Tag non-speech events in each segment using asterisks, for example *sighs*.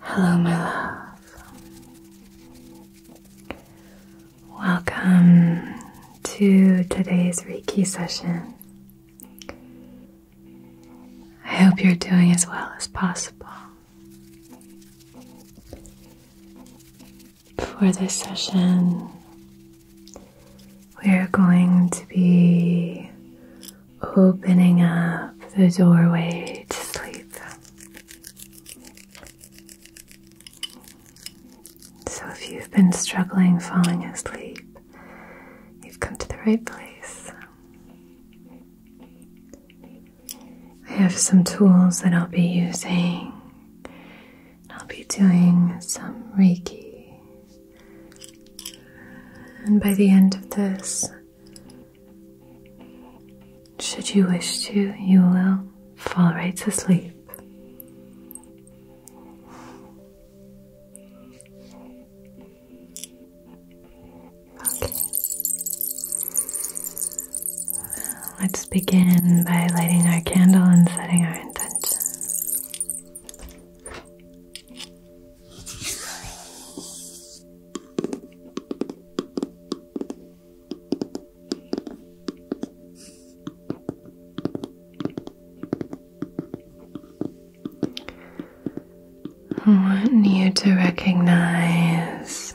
Hello, my love. Welcome to today's Reiki session. I hope you're doing as well as possible. For this session, we're going to be opening up the doorway to sleep. So, if you've been struggling falling asleep, you've come to the right place. I have some tools that I'll be using. I'll be doing some Reiki and by the end of this, should you wish to, you will fall right to sleep. Okay. Let's begin by lighting our candle and setting our intention. I want you to recognize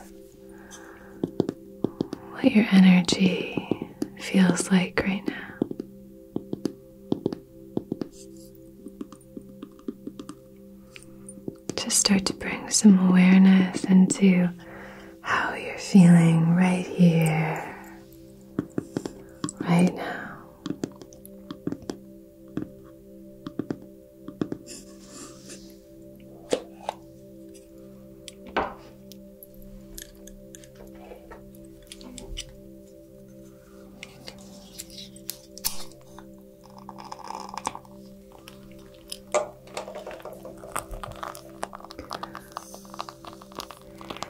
what your energy feels like right now. Just start to bring some awareness into how you're feeling right here, right now.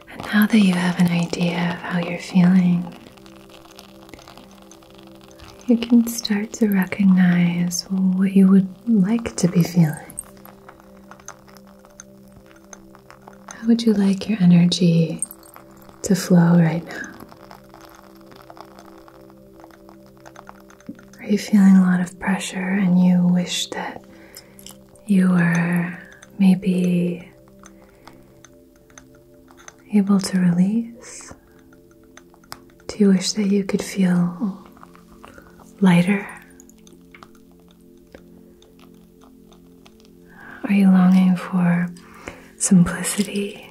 And now that you have an idea of how you're feeling, you can start to recognize what you would like to be feeling. How would you like your energy to flow right now? Are you feeling a lot of pressure and you wish that you were maybe able to release? Do you wish that you could feel lighter? Are you longing for simplicity?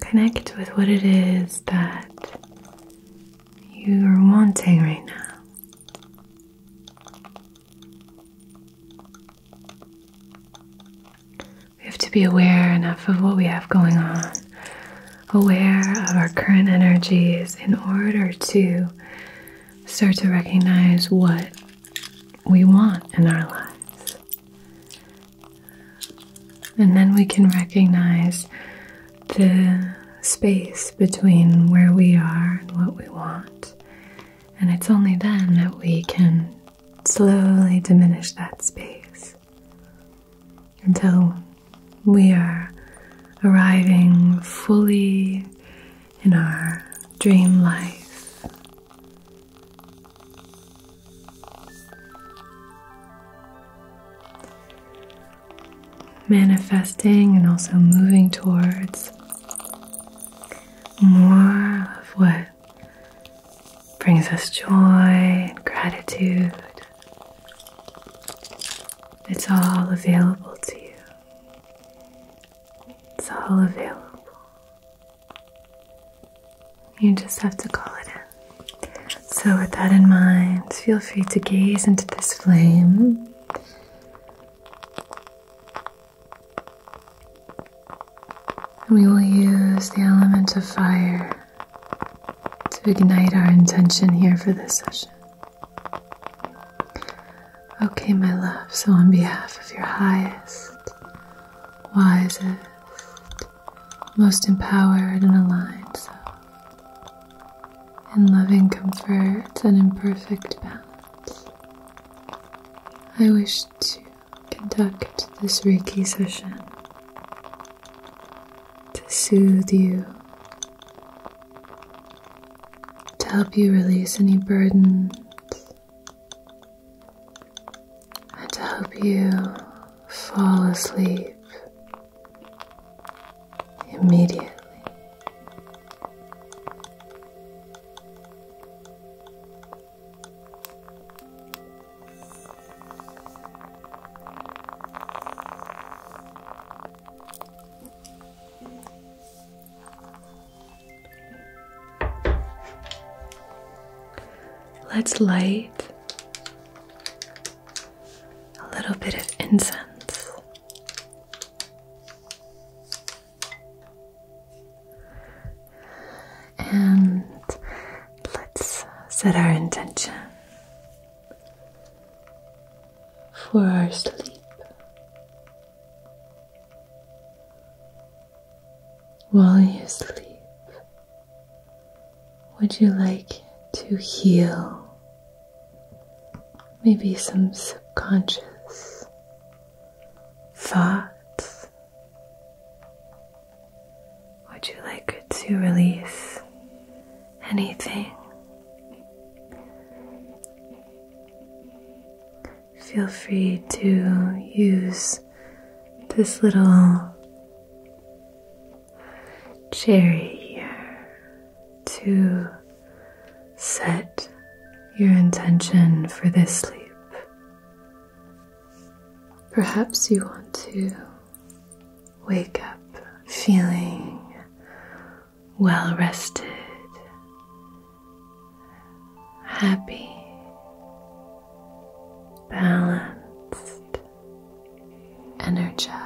Connect with what it is that you are wanting right now. We have to be aware enough of what we have going on, aware of our current energies in order to start to recognize what we want in our lives. And then we can recognize the space between where we are and what we want. And it's only then that we can slowly diminish that space until we are arriving fully in our dream life. Manifesting and also moving towards more of what brings us joy and gratitude. It's all available to you. It's all available. You just have to call it in. So, with that in mind, feel free to gaze into this flame. We will use the element of fire to ignite our intention here for this session. Okay, my love, so on behalf of your highest, wisest, most empowered and aligned self, in loving comfort and in perfect balance, I wish to conduct this Reiki session to soothe you, to help you release any burdens and to help you fall asleep immediately. Let's light a little bit of incense. And let's set our intention for our sleep. While you sleep, would you like to heal maybe some subconscious thoughts? Would you like to release anything? feel free to use this little cherry here to set your intention for this sleep. Perhaps you want to wake up feeling well rested, happy, balanced, energized.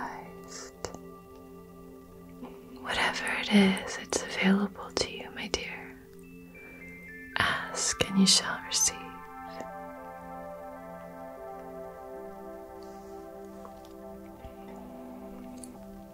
Whatever it is, it's available to you, my dear. Ask and you shall receive.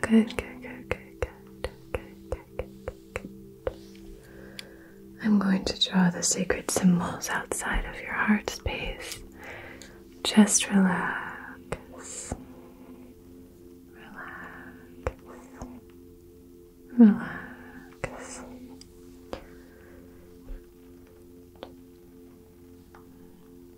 Good, good, good, good, good, good, good, good, I'm going to draw the sacred symbols outside of your heart space. Just relax. Relax. Relax.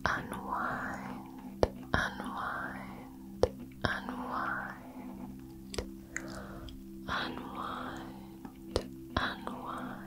Unwind, unwind, unwind, unwind, unwind,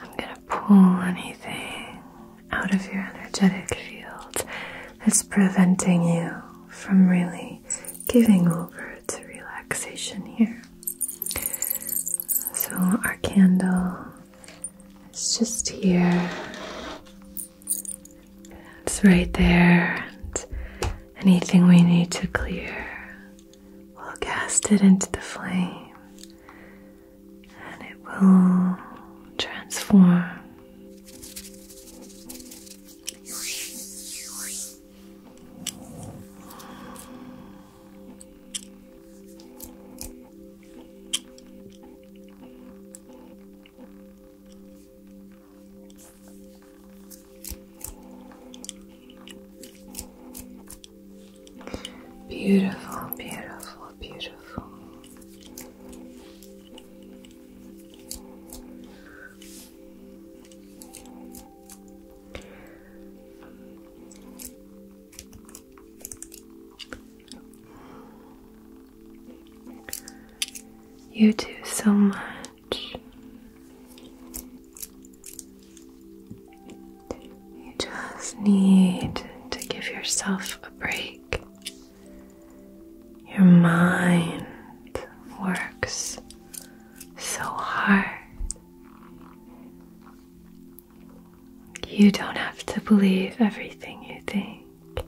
I'm going to pull anything out of your energetic field that's preventing you from really giving over to relaxation here. So, our candle is just here, it's right there, anything we need to clear, we'll cast it into the flame and it will transform. Beautiful, beautiful, beautiful. You do so much. You just need to give yourself a break. Your mind works so hard. You don't have to believe everything you think,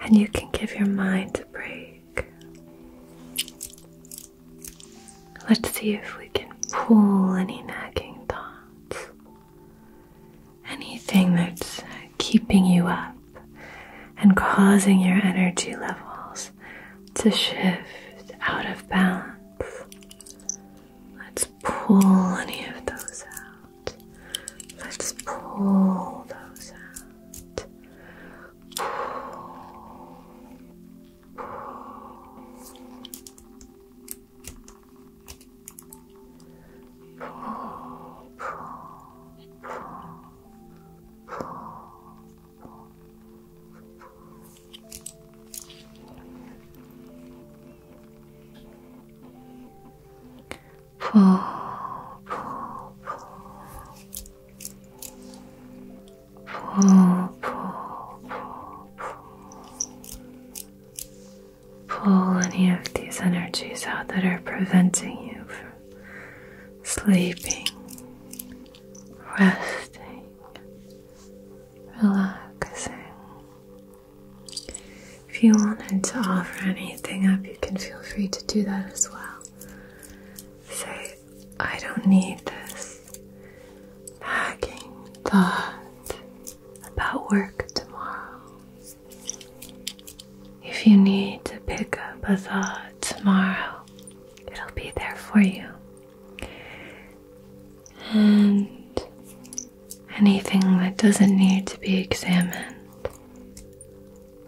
and you can give your mind a break. Let's see if we can pull any nagging thoughts, anything that's keeping you up and causing your energy levels to shift out of balance. Let's pull any of those out. Let's pull those out. Pull, pull, pull, pull. Pull any of these energies out that are preventing you from sleeping, resting, relaxing. If you wanted to offer anything up, you can feel free to do that as well. Say, I don't need this nagging thought about work tomorrow. If you need to pick up a thought tomorrow, it'll be there for you. And anything that doesn't need to be examined,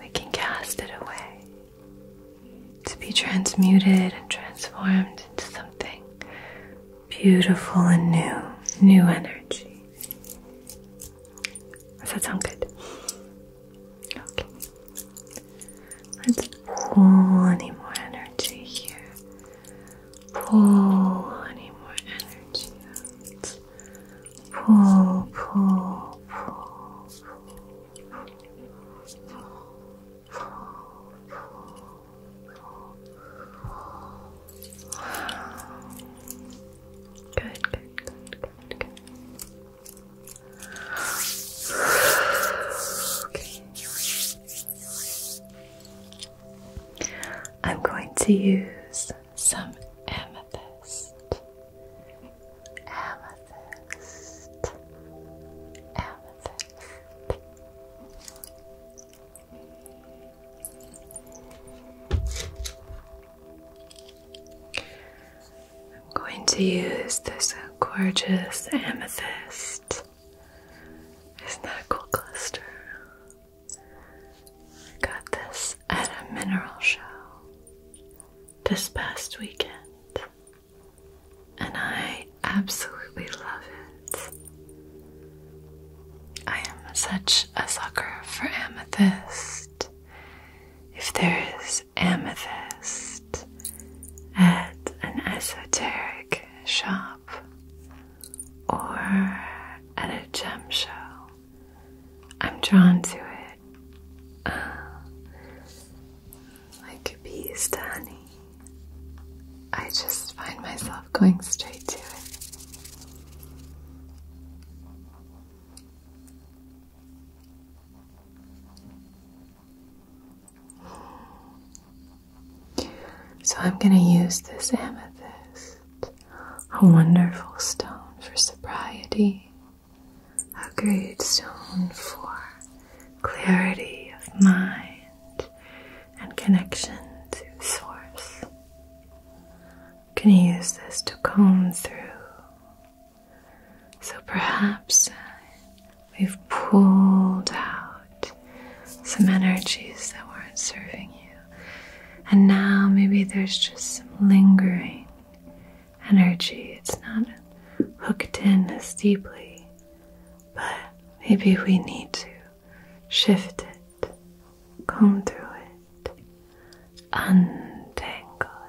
we can cast it away to be transmuted and transformed into something beautiful and new, new energy. Does that sound good? Okay. Let's pull any more energy here. Pull any more energy Pull, pull, pull, pull, pull, pull, pull, pull. Good, good, good, good, good. I'm going to use some amethyst. Amethyst. Amethyst. I'm going to use this gorgeous amethyst. Isn't that a cool cluster? I got this at a mineral show this past weekend, and I absolutely love it. I am such a sucker for amethyst. If there is amethyst at an esoteric shop or at a gem show. I'm drawn to it uh, like bees to honey. I just find myself going straight to it. So I'm going to use this amethyst, a wonderful stone for sobriety, a great stone for clarity of mind and connection to source. I'm going to use this to comb through so perhaps we've pulled out some energies that weren't serving you. And now maybe there's just some lingering energy. It's not hooked in as deeply, but maybe we need to shift it, comb through it, untangle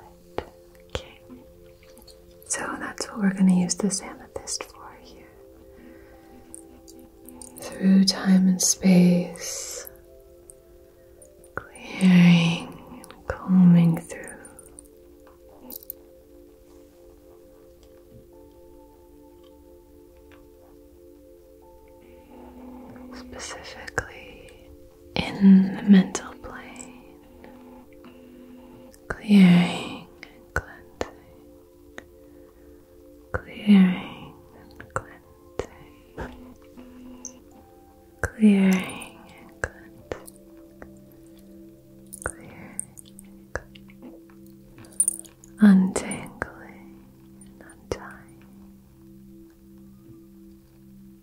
it. So that's what we're going to use this amethyst for here. Through time and space, clearing and combing through. Specifically in the mental plane, clearing and cleansing, clearing and cleansing, clearing and cleansing, clearing and cleansing, untangling and untying.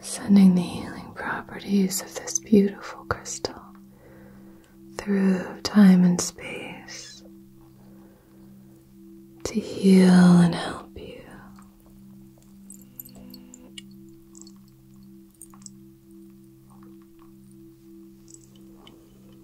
Sending the healing properties of this beautiful crystal through time and space to heal and help you.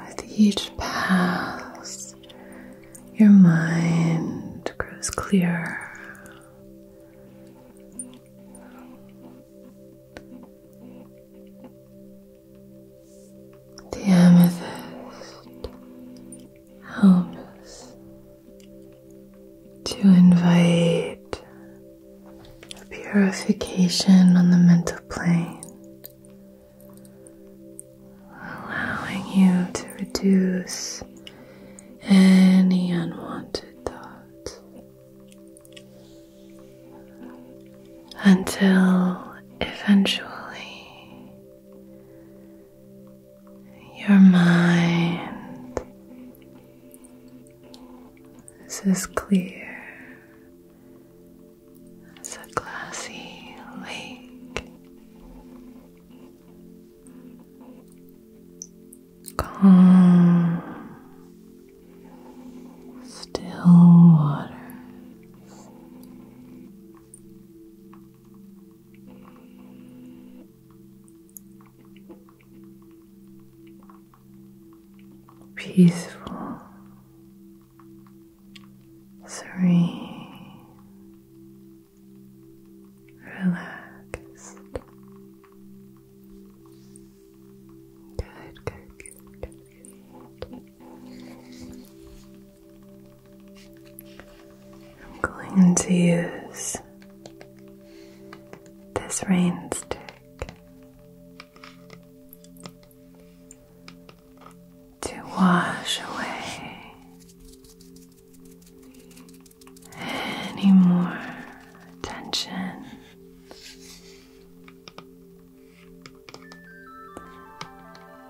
With each pass, your mind grows clearer. The amethyst homes to invite a purification on the mental plane, allowing you to reduce any unwanted thoughts until eventually your mind is as clear as a glassy lake, calm, still water peaceful, serene, relaxed. Good, good, good, good, good. I'm going to use this rain stick to wash away any more tension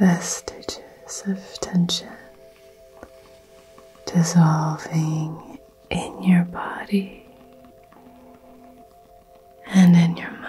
vestiges of tension dissolving in your body and in your mind.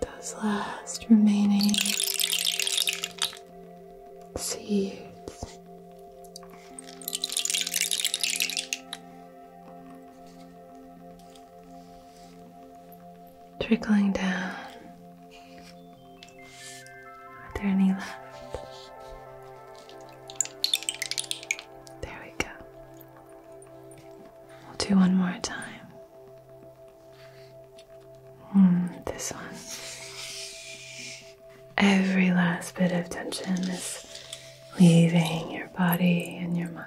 those last remaining seeds. Trickling down. Are there any left? There we go. We'll do one more time. Hmm, this one. Every last bit of tension is leaving your body and your mind.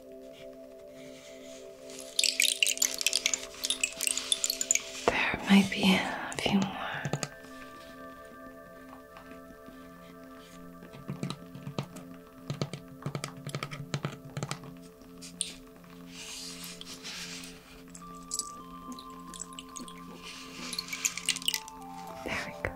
There might be a few more. There we go.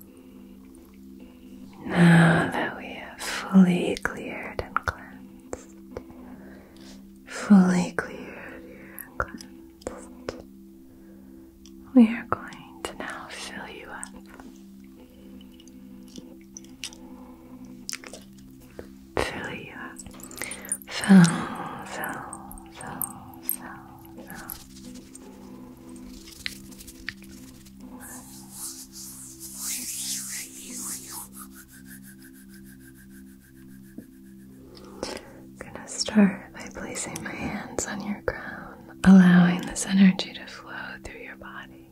Now that we have fully cleared and cleansed, fully cleared and cleansed, we are going to now fill you up. Fill you up. Fill, fill, fill, fill, I'm gonna start by placing my hands on your crown, allowing this energy to flow through your body.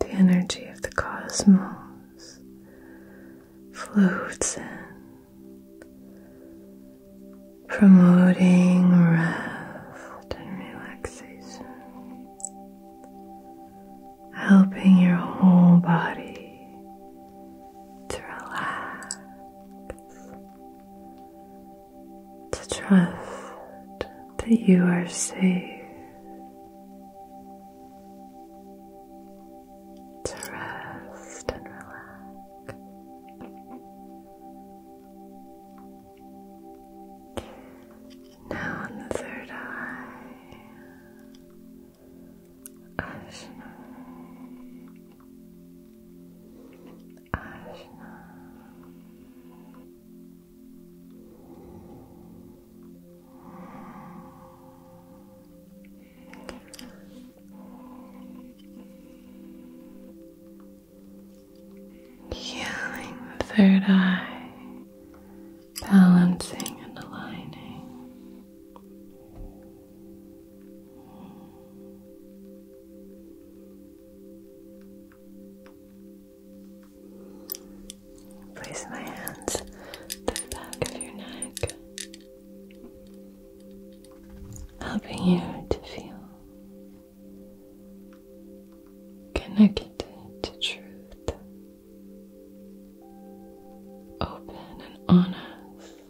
The energy of the cosmos floats in promoting rest and relaxation, helping your whole body to relax, to trust that you are safe to rest and relax. Now, on the third eye, Ajna, Ajna. Healing the third eye, balancing and aligning. Place my hands to the back of your neck helping you to feel connected to truth, open and honest,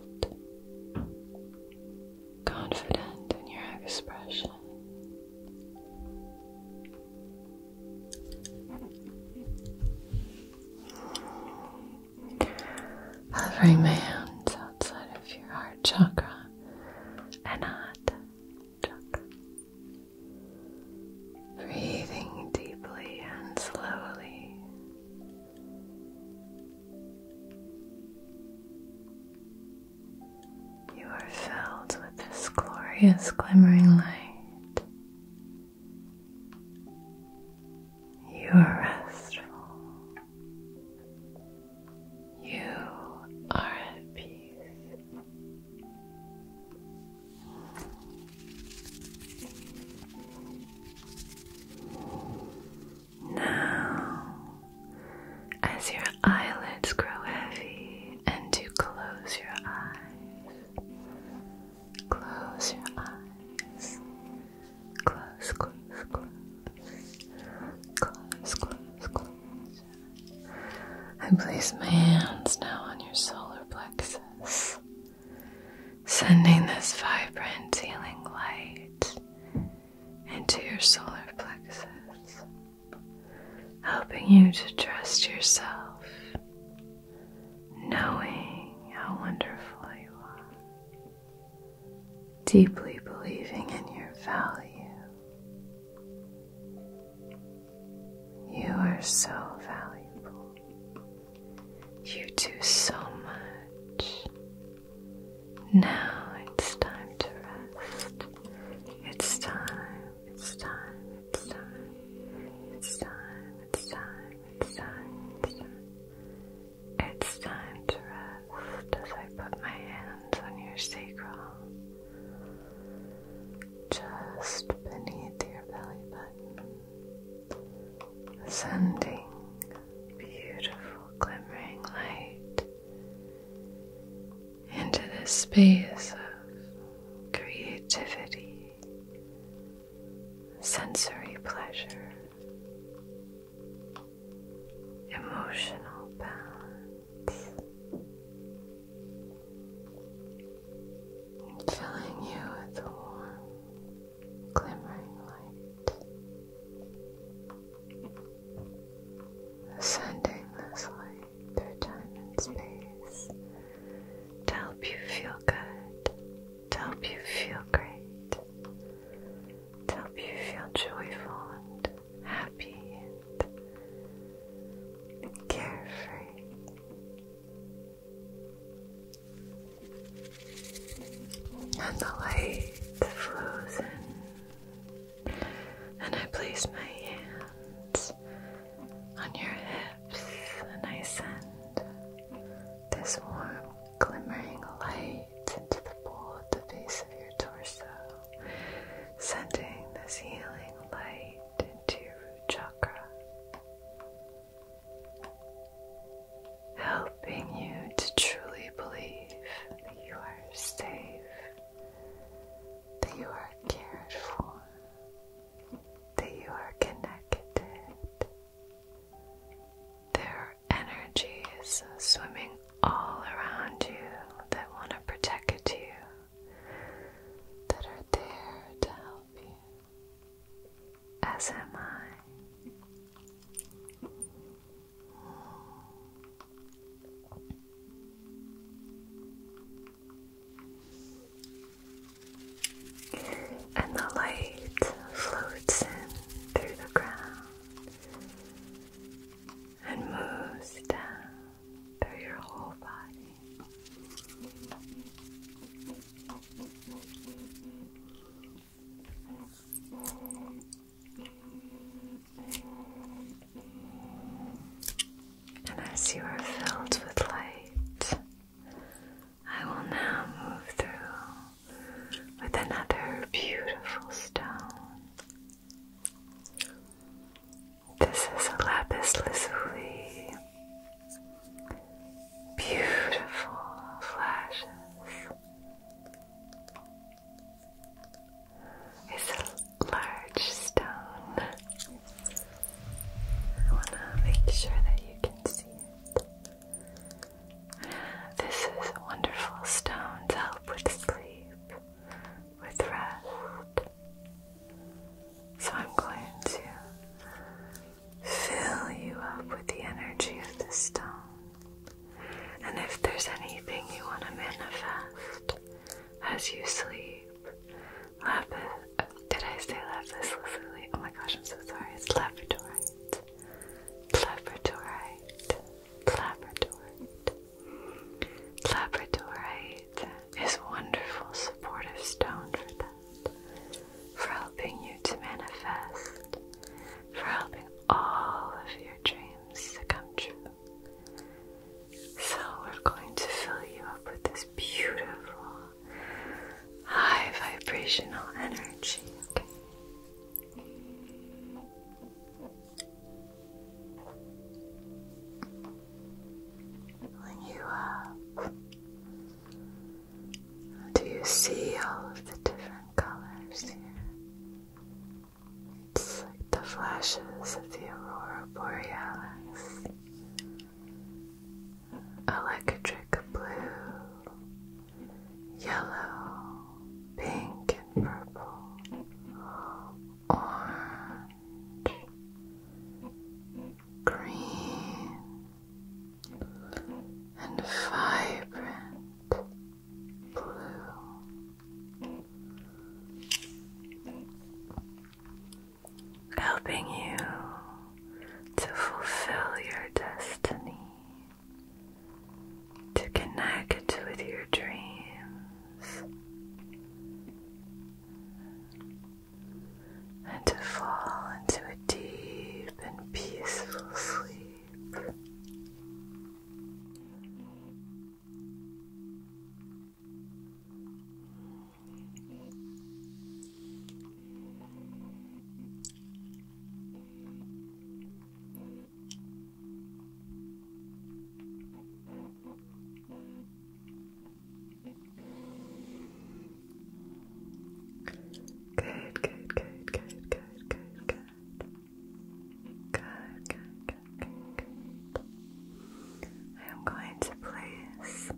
confident in your expression hovering my hands outside of your heart chakra and heart chakra. Breathing deeply and slowly. You are filled with this glorious glimmering light. You are restful. You are at peace. Now, as your eyelids grow heavy and you close your eyes, close your eyes Close, close, close. Close, close, close. I place my hands now on your solar plexus, sending this vibrant healing light into your solar plexus, helping you to trust yourself knowing how wonderful you are, deeply believing in your value. You are so valuable. You do so much. Now it's time to rest. It's time, it's time, it's time, it's time, it's time, it's time, it's time to rest as I put my hands on your sacrum, just beneath your belly button, sending beautiful glimmering light into this space of creativity sensory pleasure, emotional balance, filling you with a warm, glimmering light, sending this light through time and space to help you feel good to help you feel great, to help you feel joyful and happy and carefree. And the light flows in, and I place my hands on your hips, and I send this warmth glimmering light into the bowl at the base of your torso, sending this healing light into your chakra, helping you to truly believe that you are safe, that you are cared for, that you are connected. There are energies swimming all around you that want to protect you, that are there to help you. As am I and the light floats in through the ground and moves down through your whole body. And as you are filled with light, I will now move through with another beautiful stone. This is a lapis lazuli. Beautiful flashes. It's a large stone. I want to make sure that you can see it. This is a wonderful stone to help with sleep, with rest. So I'm going to fill you up with the energy of the stone. And if there's anything you want to manifest as you sleep, lapis, did I say lapis lazuli? Oh my gosh, I'm so sorry. It's left labradorite. Labradorite, labradorite. Labradorite is wonderful supportive stone for that, for helping you to manifest, for helping all of your dreams to come true. So we're going to fill you up with this beautiful high vibrational energy, okay? When you up, do you see all of the different colors here? It's like the flashes of the aurora borealis, electric blue, yellow, pink and purple, orange, green, and vibrant blue. Helping you to fulfill your destiny to connect with your dreams and to fall into a deep and peaceful sleep. Good, good, good, good, good, good, good. Good, good, I am going to place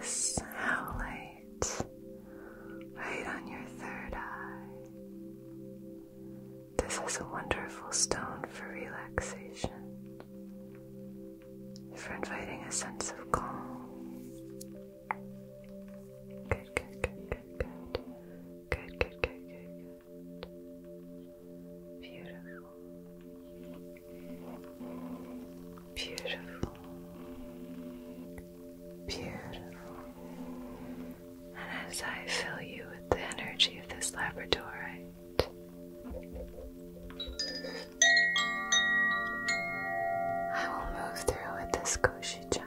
this howling right on your third eye. This is a wonderful stone for relaxation, for inviting a sense of calm. Good, good, good, good, good. Good, good, good, good, good. Beautiful. Beautiful. Beautiful. And as I fill you with the energy of this labradorite, I will move through with this Koshi chime.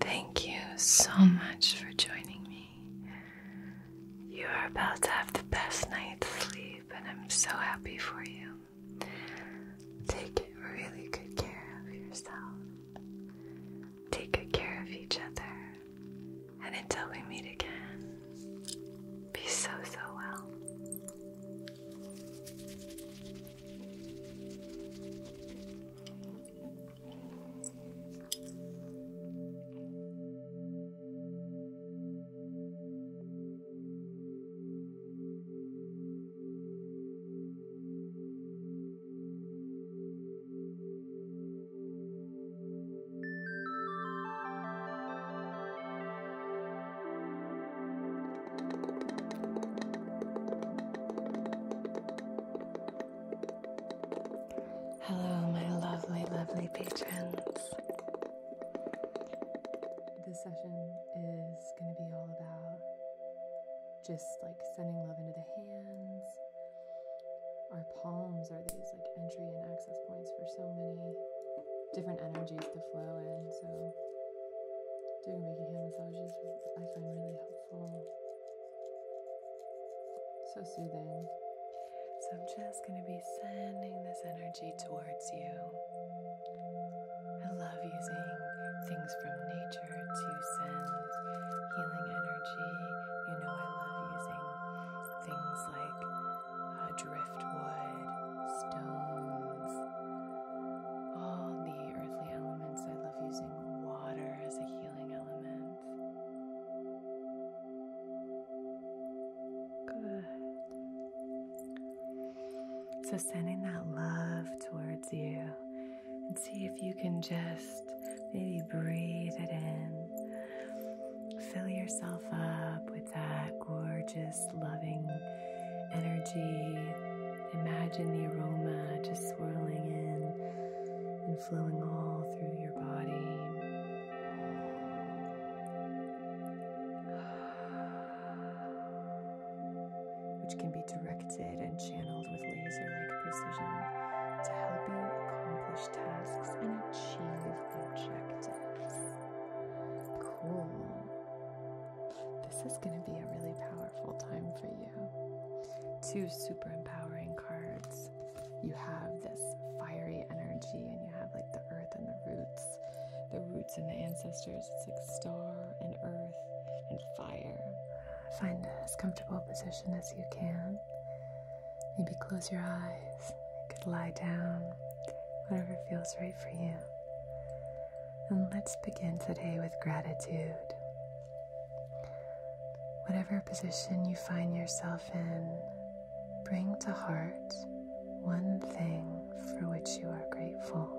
Thank you so much for joining me. You are about to have the best night's sleep, and I'm so happy for you. Take really good care of yourself. Take good care of each other. And until we meet again, be so, so well. Hello, my lovely, lovely patrons. This session is going to be all about just like sending love into the hands. Our palms are these like entry and access points for so many different energies to flow in. So, doing Reiki hand massages I find really helpful. So soothing. So, I'm just going to be sending this energy towards you. I love using things from nature to send healing energy. You know, I love using things like uh, driftwood, stones, all the earthly elements. I love using water as a healing element. Good. So, sending that love towards you and see if you can just maybe breathe it in. Fill yourself up with that gorgeous, loving energy. Imagine the aroma just swirling in and flowing all through your body. *sighs* which can be directed and channeled with laser like precision to help you accomplish tasks and achieve objectives. Cool. This is going to be a really powerful time for you. Two super empowering cards. You have this fiery energy, and you have like the earth and the roots, the roots and the ancestors. It's like star and earth and fire. Find as comfortable a position as you can. Maybe close your eyes. You could lie down, whatever feels right for you. And let's begin today with gratitude. Whatever position you find yourself in, bring to heart one thing for which you are grateful.